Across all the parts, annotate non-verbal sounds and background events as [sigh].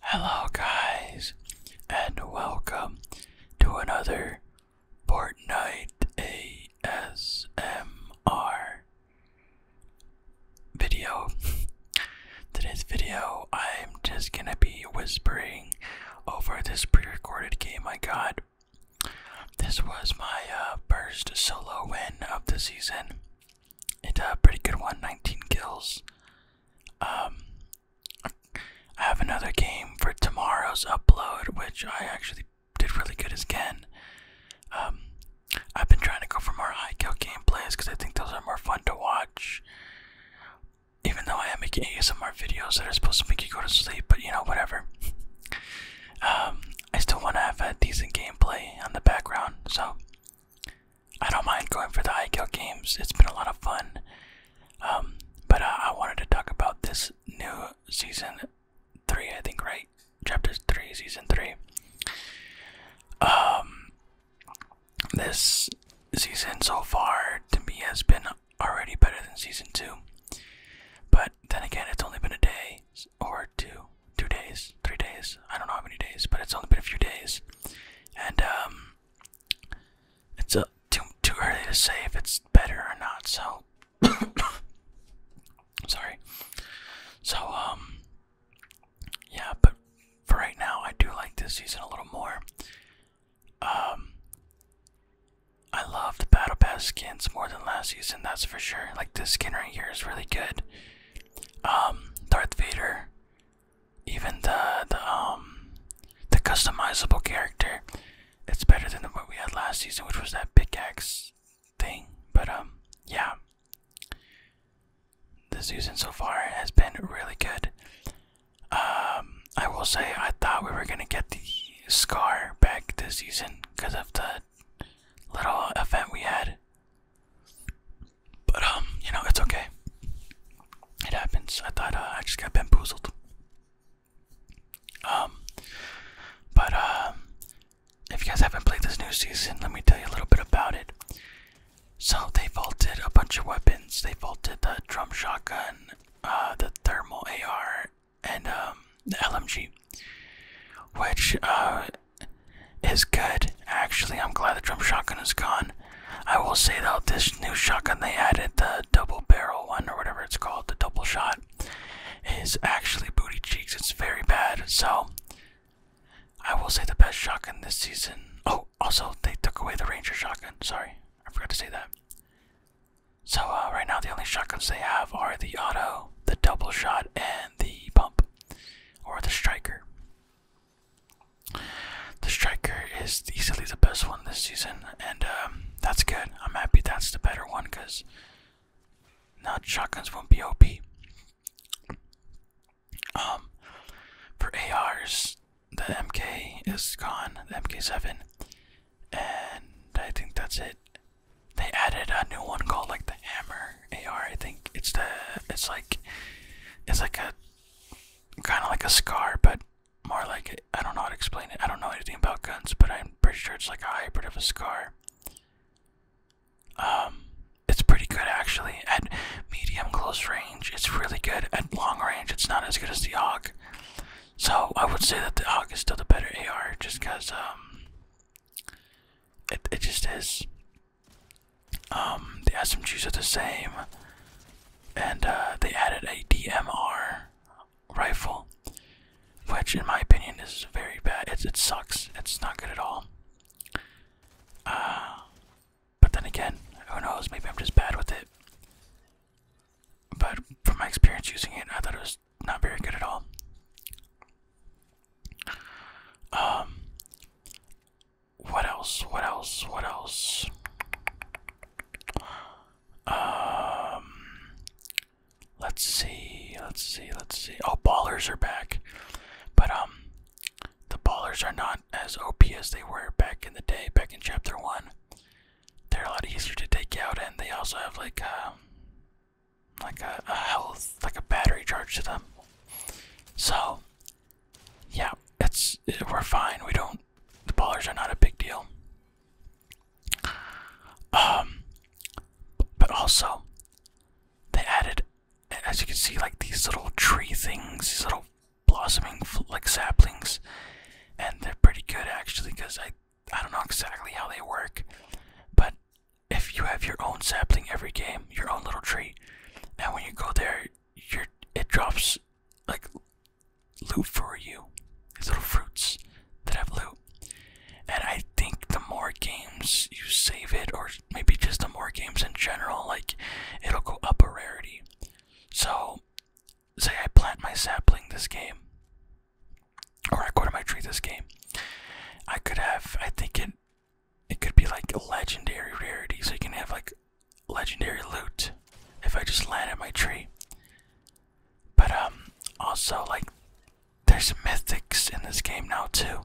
Hello, guys, and welcome to another Fortnite ASMR video. [laughs] Today's video, I'm just gonna be whispering over this pre recorded game I got. This was my uh, first solo win of the season. It's a pretty good one 19 kills. Um, I have another game for tomorrow's upload, which I actually did really good as Ken. Um, I've been trying to go for more high gameplays because I think those are more fun to watch. Even though I am making ASMR videos that are supposed to make you go to sleep, but you know, whatever. um, I still want to have a decent gameplay on the background, so I don't mind going for the high kill games. It's been a lot of fun. Um, but uh, I wanted to talk about this new season three, I think, right? Chapter three, season three. Um, this season so far to me has been already better than season two. But then again, it's only been a day or two, two days, three days. I don't know how many days, but it's only been a few days. And um, it's a, too too early to say if it's better or not. So [coughs] sorry. So um, yeah, but for right now, I do like this season a little more. Um, I love the Battle Pass skins more than last season. That's for sure. Like this skin right here is really good. Um, Darth Vader even the the um the customizable character, it's better than what we had last season, which was that pickaxe thing. But um, yeah, this season so far has been really good. Um, I will say I thought we were gonna get the scar back this season because of the little event we had. But um, you know, it's okay. It happens. I thought uh, I just got bamboozled. Um, but uh, if you guys haven't played this new season, let me tell you a little bit about it. So they vaulted a bunch of weapons. They vaulted the drum shotgun, uh, the thermal AR, and um, the LMG, which uh, is good. Actually, I'm glad the drum shotgun is gone. I will say though, this new shotgun they added, the double barrel one or whatever it's called, the double shot, is actually booty cheeks. It's very bad. So, I will say the best shotgun this season. Oh, also, they took away the Ranger shotgun. Sorry, I forgot to say that. So, uh, right now, the only shotguns they have are the auto, the double shot, and the pump, or the striker. The striker is easily the best one this season, and um, that's good. I'm happy that's the better one because now shotguns won't be OP. Um, for ARs, the MK is gone, the MK7, and I think that's it. They added a new one called like the Hammer AR. I think it's the it's like it's like a kind of like a scar, but more like I don't know how to explain it. I don't know anything about guns, but I'm pretty sure it's like a hybrid of a scar. Um, it's pretty good actually at medium close range. It's really good at long range. It's not as good as the AUG. So I would say that the AUG is still the better AR, just because um, it it just is the SMGs are the same, and uh, they added a DMR rifle, which, in my opinion, is very bad. It's, it sucks. It's not good at all. Uh, but then again, who knows? Maybe I'm just bad with it. But from my experience using it, I thought it was not very good at all. Um, what else? What else? What else? Um, let's see. Let's see. Let's see. Oh, ballers are back, but um, the ballers are not as OP as they were back in the day. Back in chapter one, they're a lot easier to take out, and they also have like um, like a, a health, like a battery charge to them. So yeah, it's we're fine. We don't. The ballers are not a big deal. Um, but also, they added, as you can see, like these little tree things, these little blossoming like saplings, and they're pretty good actually. Cause I, I don't know exactly how they work, but if you have your own sapling every game, your own little tree, Now when you go there, your it drops like loot for you. These little fruits that have loot. And I think the more games you save it, or maybe just the more games in general, like it'll go up a rarity. So, say I plant my sapling this game, or I go to my tree this game, I could have, I think it it could be like a legendary rarity, so you can have like legendary loot if I just land at my tree. But um also like there's mythics in this game now too.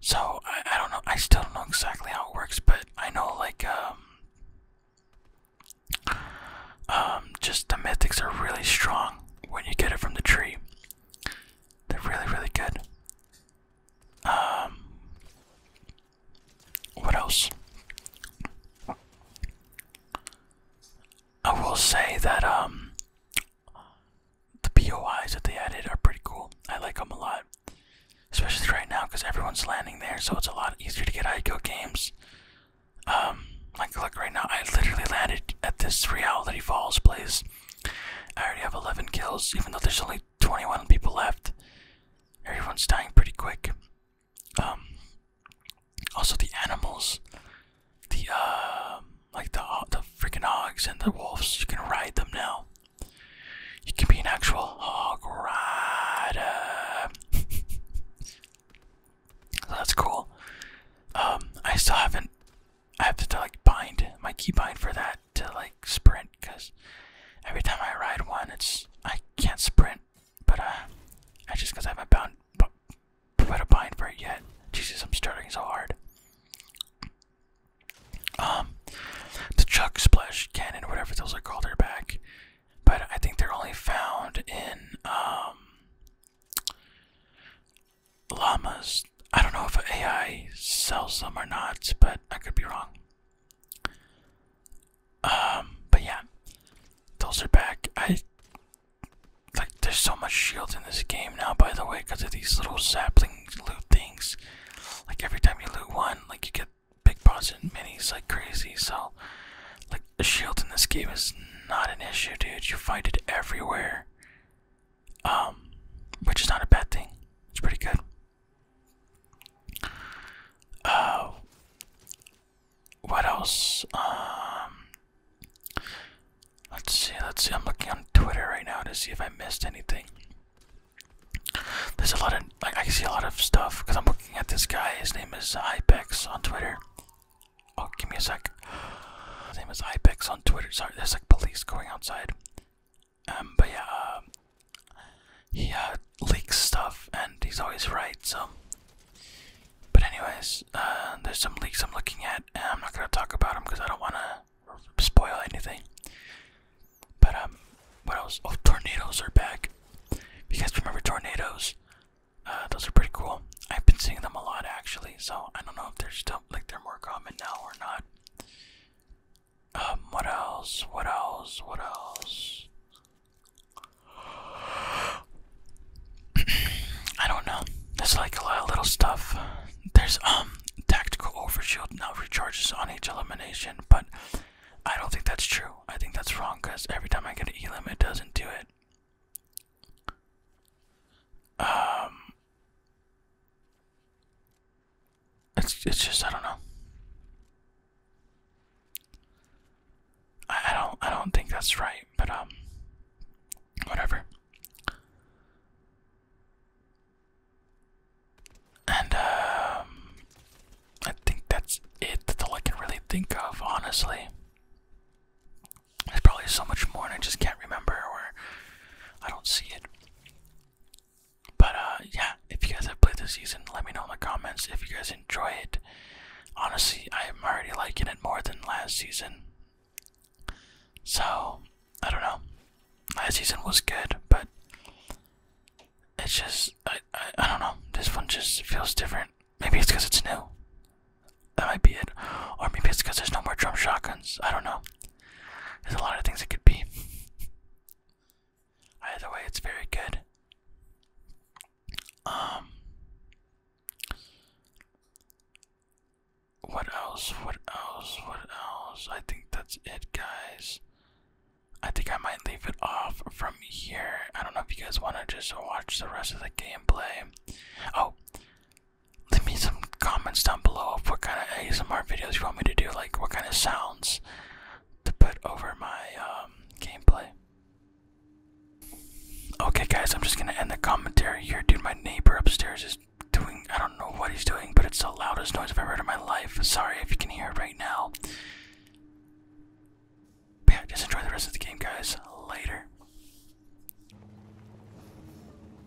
So I, I don't know I still don't know exactly how it works, but I know like um um just the mythics are really strong when you get it from the tree. They're really really good. Um, what else? I will say that um, the POIs that they added are pretty cool. I like them a lot, especially right now because everyone's landing there, so it's a lot easier to get ICO games. Um, like look right now, I literally landed at this Reality Falls place. I already have 11 kills, even though there's only 21 people left. Everyone's dying pretty quick. Um, also the animals, the uh, like the uh, the freaking hogs and the wolves. You can ride them now. You can be an actual hog rider. so [laughs] that's cool. Um, I still haven't. I have to like bind my keybind for that to like sprint because every time I ride one, it's I can't sprint, but uh, I just because I haven't bound put a bind for it yet. Jesus, I'm struggling so hard. Um, the chuck splash cannon, whatever those are called, are back, but I think they're only found in um llamas I don't know if AI sells them or not, but I could be wrong. Um, but yeah, those are back. I like there's so much shields in this game now, by the way, because of these little sapling loot things. Like every time you loot one, like you get big bosses and minis like crazy. So, like the shield in this game is not an issue, dude. You find it everywhere. Um, which is not a bad thing. It's pretty good. Uh, what else? Um, let's see. Let's see. I'm looking on Twitter right now to see if I missed anything. There's a lot of like I see a lot of stuff because I'm looking at this guy. His name is Ipex on Twitter. Oh, give me a sec. His name is Ipex on Twitter. Sorry, there's like police going outside. Um, but yeah, uh, he uh, leaks stuff, and he's always right. So, but anyways, uh, there's some leaks I'm looking at, and I'm not gonna talk about them because I don't wanna spoil anything. But um, what else? Oh, tornadoes are back. If you guys remember tornadoes, uh, those are pretty cool. I've been seeing them a lot actually, so I don't know if they're still like they're more common now or not. Um, what else? What else? What else? [clears throat] I don't know. There's like a lot of little stuff. There's um tactical overshield now recharges on each elimination, but I don't think that's true. I think that's wrong because every time I get an elim, it doesn't do it. Um, it's it's just I don't know. I, don't I don't think that's right, but um whatever. And um I think that's it that's all I can really think of, honestly. There's probably so much more and I just can't remember or I don't see it. But uh, yeah, if you guys have played this season, let me know in the comments if you guys enjoy it. Honestly, I'm already liking it more than last season. So, I don't know. Last season was good, but it's just, I, I don't know. This one just feels different. Maybe it's because it's new. That might be it. Or maybe it's because there's no more drum shotguns. I don't know. There's a lot of things it could be. Either way, it's very good. Um, what else? What else? What else? I think that's it, guys. I think I might leave it off from here. I don't know if you guys want to just watch the rest of the gameplay. Oh, leave me some comments down below of what kind of ASMR videos you want me to do, like what kind of sounds to put over my um, gameplay. Okay, guys, I'm just gonna end the commentary here. Dude, my neighbor upstairs is doing, I don't know what he's doing, but it's the loudest noise I've ever heard in my life. Sorry if you can hear it right now. yeah, just enjoy the rest of the game, guys. Later.